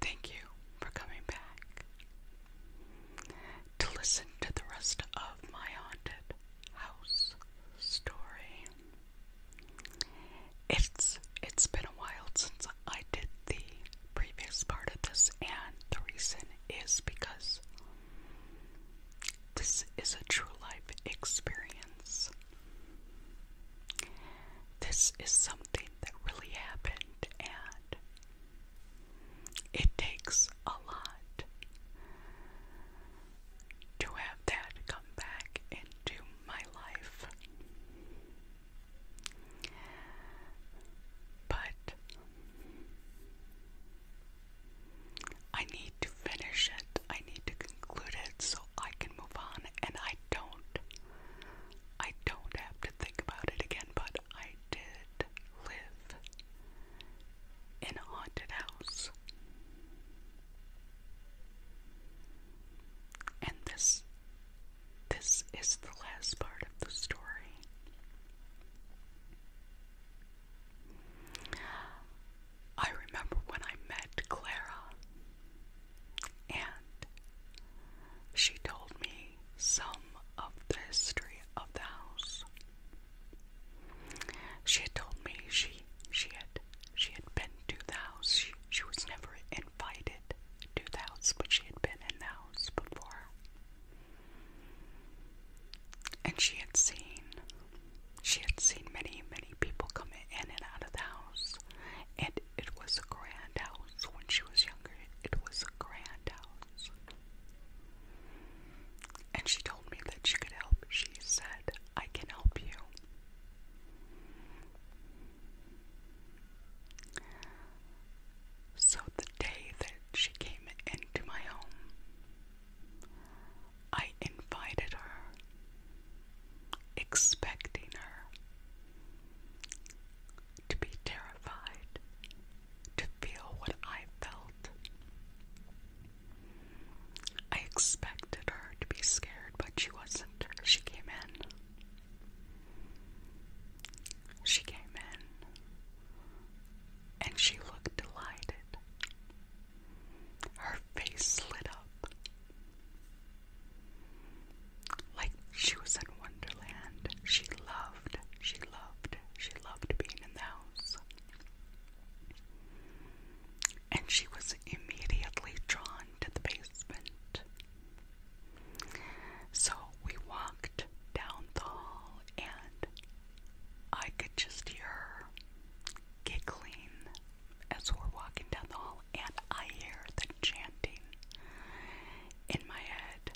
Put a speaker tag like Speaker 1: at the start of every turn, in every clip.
Speaker 1: Thank you for coming back to listen to the rest of my haunted house story. It's it's been a while since I did the previous part of this and the reason is because this is a true life experience. This is something that really happened, and it takes a lot to have that come back into my life. But I need to finish it, I need to conclude it, so I can move on and I don't I don't have to think about it again, but I did live in a haunted house. And this this is the last part of the story. I remember when I met Clara, and she told me some of the history of the house. She had told me she she had she had been to the house. She she was never invited to the house, but she had been in the house before. And she had seen she had seen many, many people come in and out of the house, and it was a grand house when she was younger. It was a grand house. And she told me that she could help. She said, I can help you. So the day that she came into my home, I invited her, expecting her to be terrified, to feel what I felt. I expected her to be scared, but she wasn't. She came in. She came in and she looked delighted. Her face lit up like she was in Wonderland. She loved, she loved, she loved being in the house. And she was immediately drawn to the basement. So we walked down the hall and I could just hear her giggling as we're walking down the hall, and I hear the chanting in my head.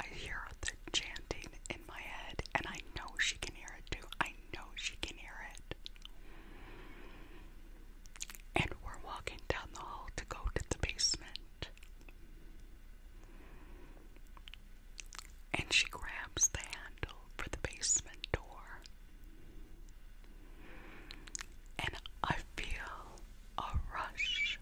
Speaker 1: I hear the chanting in my head, and I know she can hear it too. I know she can hear it. And we're walking down the hall to go to the basement. And she grabs the handle for the basement door. And I feel a rush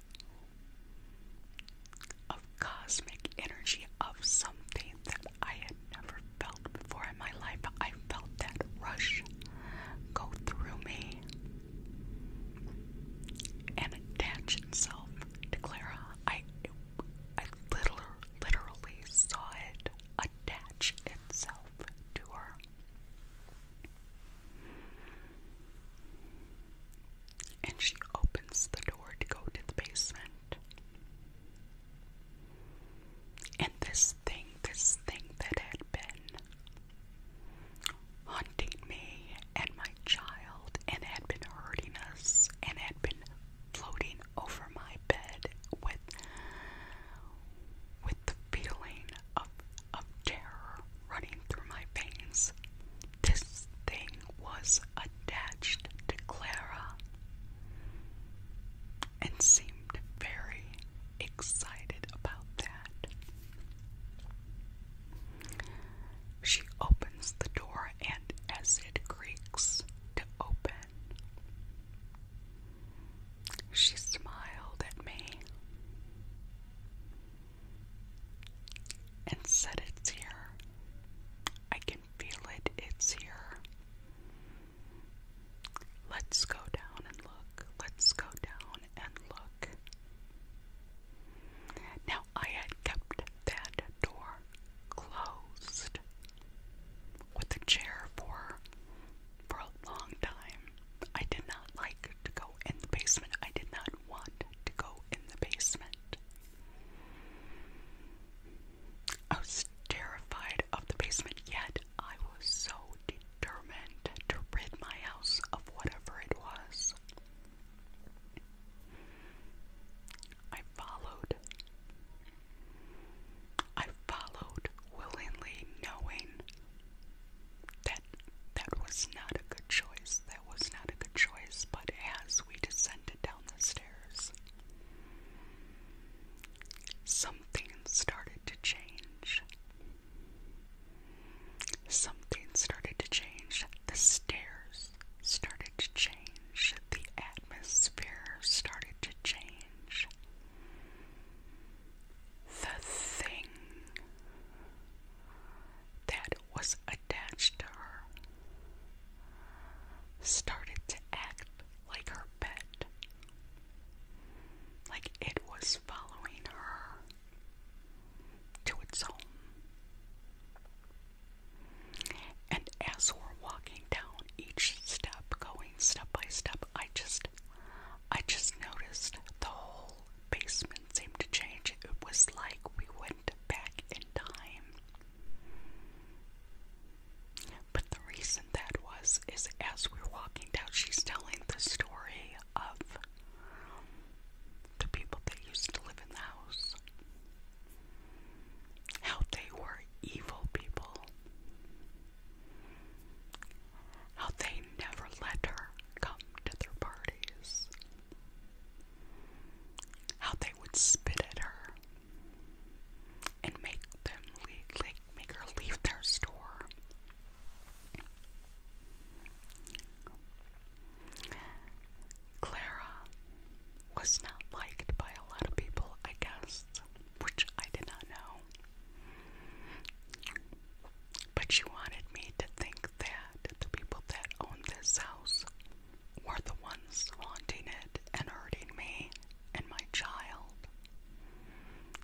Speaker 1: of cosmic energy of something that I had never felt before in my life. I felt that rush go through me and attach itself to Clara. I, I literally, literally saw it attach itself to her. And she opens the door to go to the basement. And this thing, this thing that had been hunting me and my child and had been hurting us and had been floating over my bed with with the feeling of of terror running through my veins. This thing was attached to Clara and seemed very excited about that. She opens the door, and as it creaks to open, she smiled at me and said, It's here. I can feel it, it's here. Let's go down and look. Let's go down and look. Now, I had kept that door closed with a chair for for a long time. I did not like to go in the basement. I did not want to go in the basement. I was terrified of the basement, yet I was so determined to rid my house of whatever it was. I followed. I followed willingly, knowing that that was not a good choice. That was not a good choice, but as we descended down the stairs, something started to change. Something started to change. The stairs started to change. The atmosphere started to change. The thing that was attached to her started to act like her pet. Like it was following her to its home. And as we're walking down each step, going step by step, I just I just noticed the whole basement seemed to change. It was like we went back in time the reason that was is as we're walking down, she's telling the story of the people that used to live in the house. How they were evil people. How they never let her come to their parties. How they would spit at her and make them leave, like make her leave their store. Clara was not liked by a lot of people, I guess, which I did not know. But she wanted me to think that the people that owned this house were the ones haunting it and hurting me and my child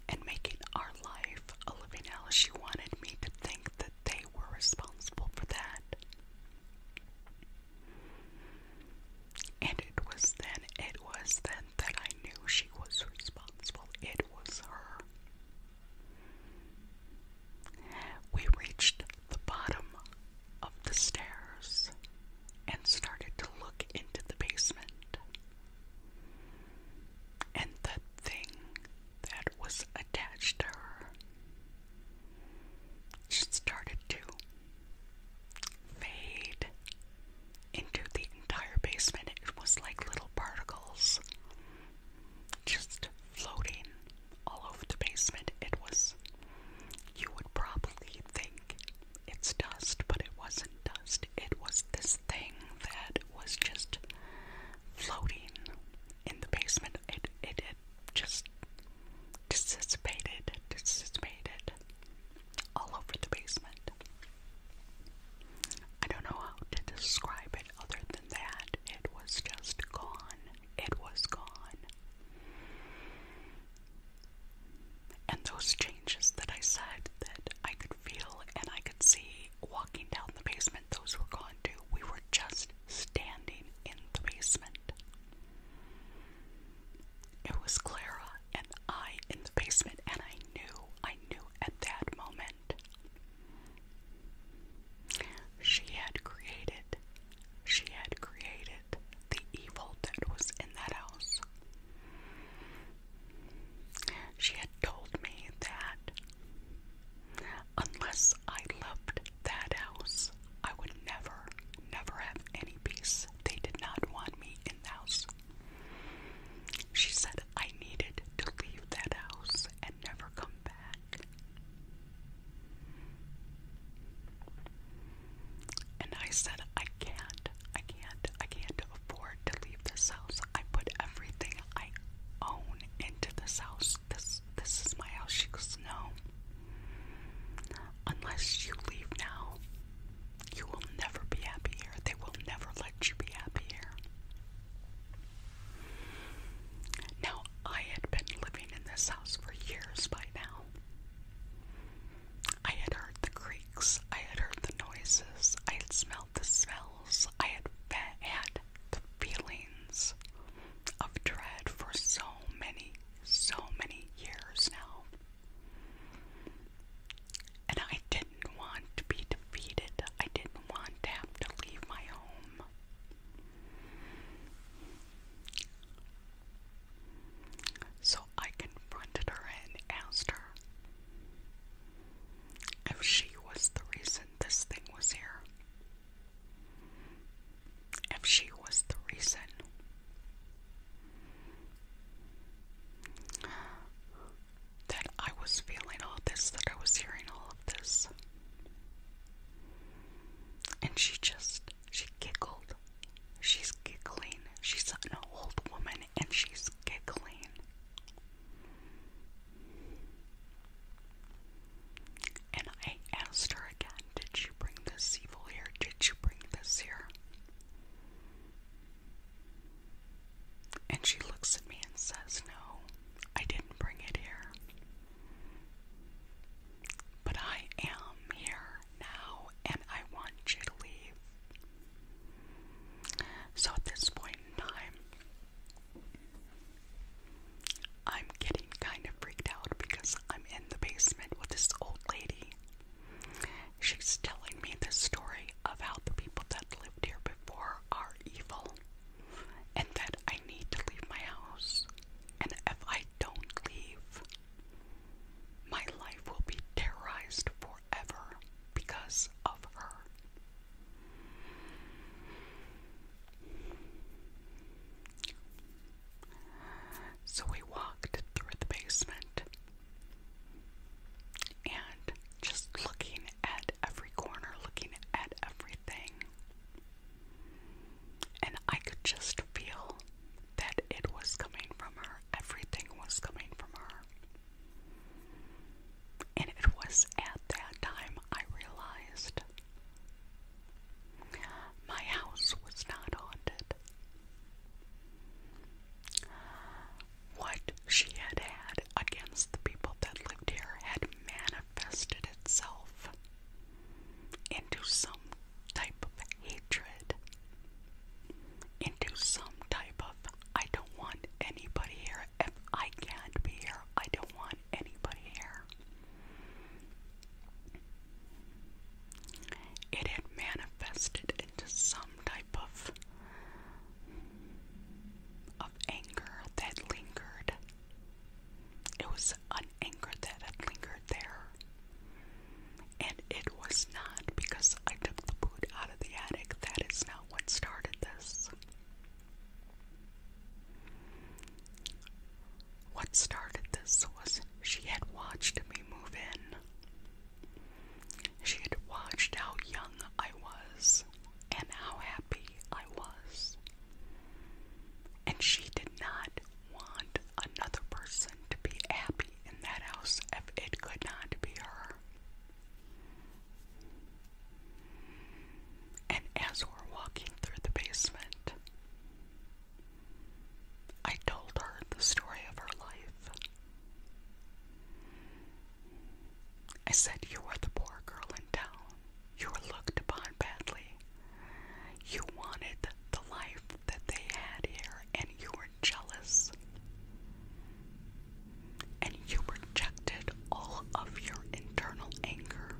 Speaker 1: and making our life a living hell. She wanted me to think that they were responsible for that. And it was then, it was then that I knew she was responsible. It was her. We reached the bottom of the stairs and started to look into the basement and the thing that was attached to her just started to fade into the entire basement. It was like little particles just floating all over the basement. It was, you would probably think it's dust, but it wasn't dust, it was this thing that was just floating in the basement. It it, it just dissipated, dissipated all over the basement. I don't know how to describe it other than that. It was just gone. It was gone. And those changes that I said that I could feel and I could see walking down the basement, those were gone too. We were just standing in the basement. It was Clara and I in the basement, and I knew, I knew at that moment. She had created, she had created the evil that was in that house. She had told me that unless I loved that house, I would never, never have any peace. They did not want me in the house. She said I needed to leave that house and never come back. And I said, I can't, I can't, I can't afford to leave this house. I put everything I own into this house. This this is my house. She goes, No. Unless you leave now, you will never be happy here. They will never let you be happy here. Now, I had been living in this house for years by now. I had heard the creaks, I had heard the noises, I had smelled the smells, I had felt the feelings of dread for so many, so many years now. And I didn't want to be defeated. I didn't want to have to leave my home. So I confronted her and asked her if she was the reason this thing was here. If she was the reason. That I was feeling all this, that I was hearing all of this. And she just, she giggled She's giggling. She's an old woman and she's giggling. And I asked her again, did you bring this evil here? Did you bring this here? And she looks at me and says, No, I didn't bring it here. But I am here now and I want you to leave. So at this point in time, I'm getting kind of freaked out because I'm in the basement with this old lady. She's telling me this story about the people that lived here before are evil and that I need to leave my house. And if I don't leave, my life will be terrorized forever because of her. So we walked through the basement and just looking at every corner, looking at everything. And I could just feel that it was coming from her, everything was coming from her. And it was at that time I realized my house was not haunted. What she had had against the people that lived here had manifested itself into some type of hatred into some type of I don't want anybody here. If I can't be here, I don't want anybody here. It had manifested into some type of of anger that lingered. It was an anger that had lingered there and it was not because I took the food out of the attic. That is not what started this. What started this was she had watched me move in. She had watched how young I was and how happy I was. And she did not want another person to be happy in that house if it could not be her. And as we're walking through the basement, I told her the story of her life. I said, You were the poor girl in town. You were looked upon badly. You wanted the life that they had here, and you were jealous. And you projected all of your internal anger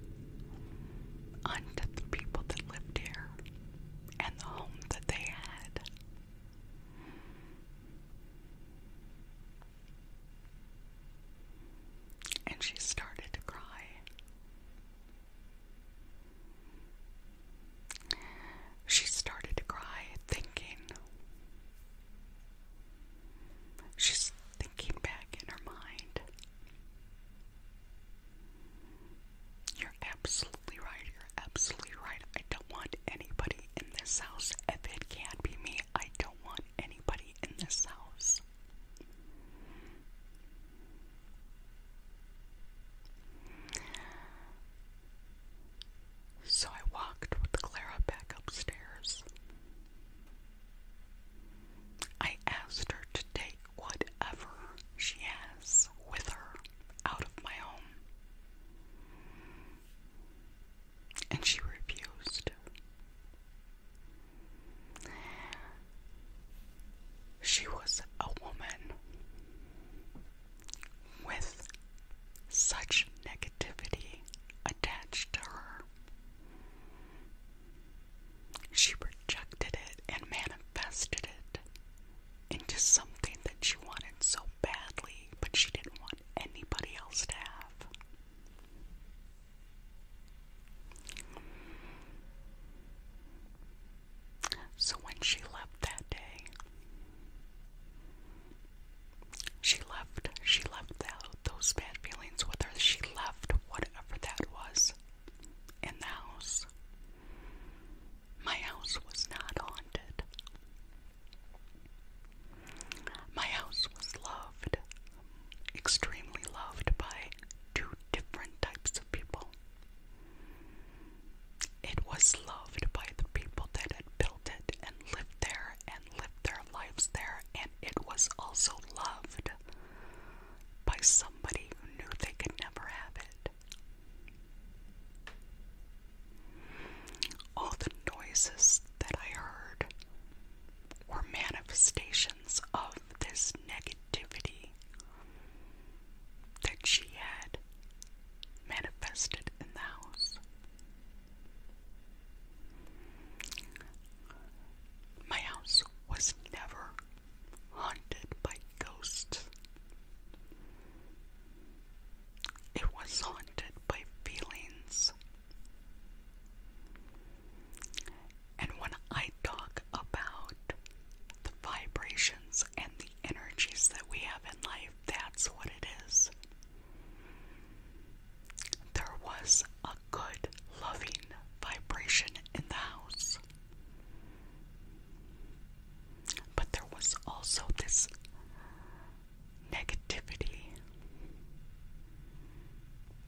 Speaker 1: onto the people that lived here and the home that they had. And she started to cry. She started to cry, thinking. She's thinking back in her mind. You're absolutely right. You're absolutely right. I don't want anybody in this house. If it can't be me, I don't want anybody in this house. So I walked with Clara back upstairs. I asked her to take whatever she has with her out of my home. And she refused. She was a woman with such negativity attached to her. She rejected it and manifested it into something that she wanted so badly, but she didn't want anybody else to have. So when she left that day, she left, she left out those bad feelings with her. She left whatever that was in the house. My house was not haunted. My house was loved, extremely loved by two different types of people. It was loved by the people that had built it and lived there and lived their lives there, and it was also loved by somebody who knew they could never have it. All the noises that I heard were manifestations of this negative positivity that she had manifested in the house. My house was never haunted by ghosts. It was haunted by feelings. And when I talk about the vibrations and the energies that we have in life, that's what it is. There was a good, loving vibration in the house. But there was also this negativity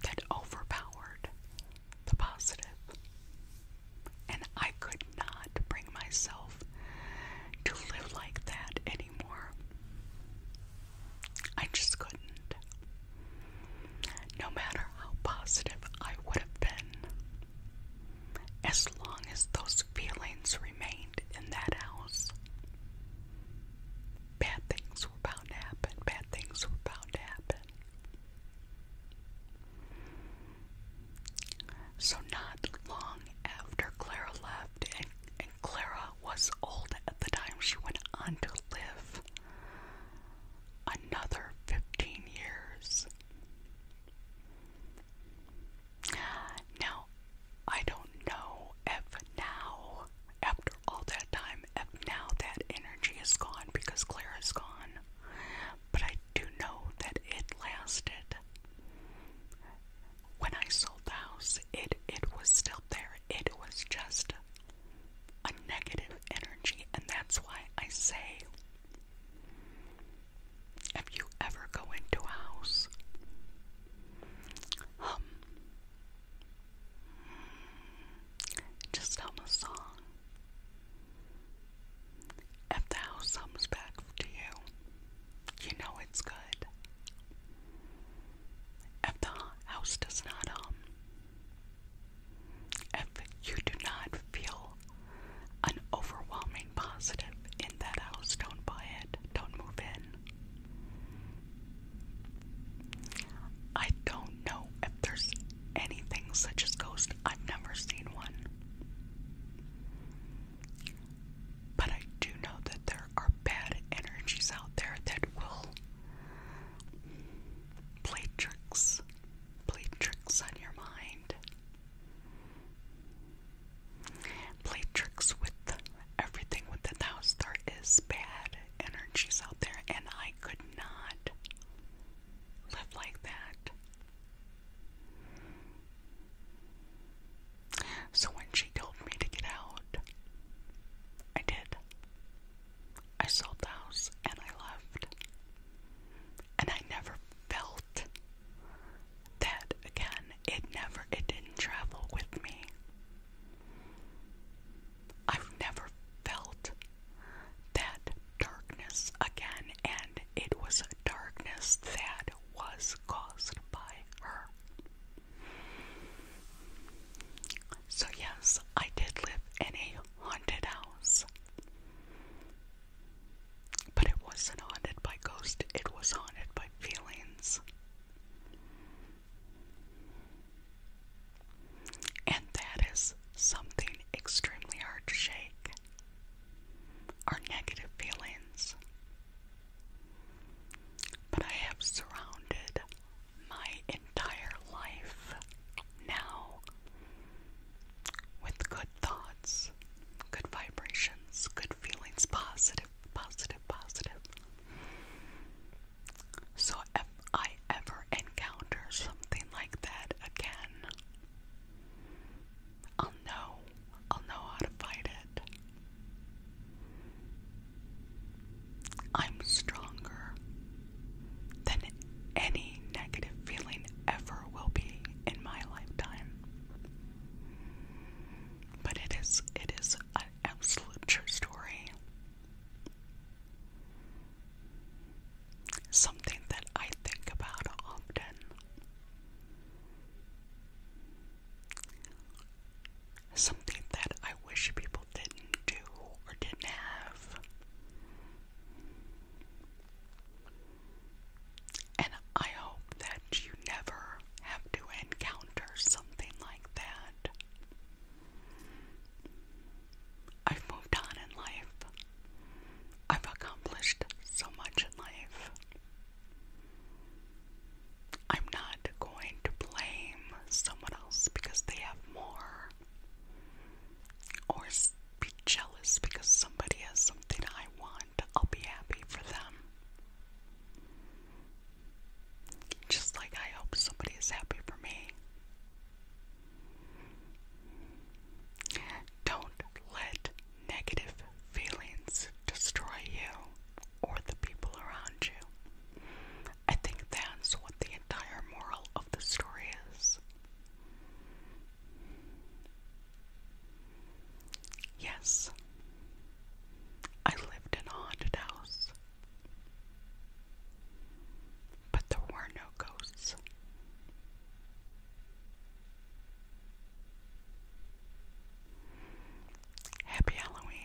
Speaker 1: that overpowered the And I could not bring myself to live like that anymore. I just couldn't. No matter how positive I would have been, as long as those feelings remained in that house, bad things were bound to happen, bad things were bound to happen. So, not long after Clara left, and, Clara was old at the time, she went on to live another 15 years. Now, I don't know if now after all that time, now that energy is gone because Claire is gone. But I do know that it lasted. When I sold the house, it it was still there. It was just a negative energy, and that's why I say if you ever go into a house, just hum a song. If the house comes back to you, you know it's good. If the house does not hum, if you do not feel an overwhelming positive in that house, don't buy it, don't move in. I don't know if there's anything such as ghosts. I've never seen one. But I do know that there are bad energies out there that will play tricks, play tricks on your mind, play tricks with everything within the star is bad energies out there, and I could not live like that. So when she told me to get out, I did. I sold the house and I left. And I never felt that again. It never, it didn't travel with me. I've never felt that darkness again, and it was a darkness that was caused by her. So, yes, I did live in a haunted house. But it wasn't haunted by ghosts, it was haunted by feelings. And that is something extremely hard to shake our negative feelings. But I have surrounded my entire life now with good thoughts, good vibrations, good feelings, positive, positive, positive. So if I ever encounter something like that again, I'll know. I'll know how to fight it. I'm stronger than any negative feeling ever will be in my lifetime. But it is it is an absolute true story. Something that I think about often. Something that I wish people didn't do or didn't have. And I hope that you never have to encounter something like that. I've moved on in life. I've accomplished so much in life. I'm not going to blame someone else because they have more or be jealous because somebody has something I want. I'll be happy for them. Just like I hope somebody is happy for me. Don't let negative feelings destroy you or the people around you. I think that's what the entire moral of the story is. Yes, I lived in a haunted house. But there were no ghosts. Happy Halloween.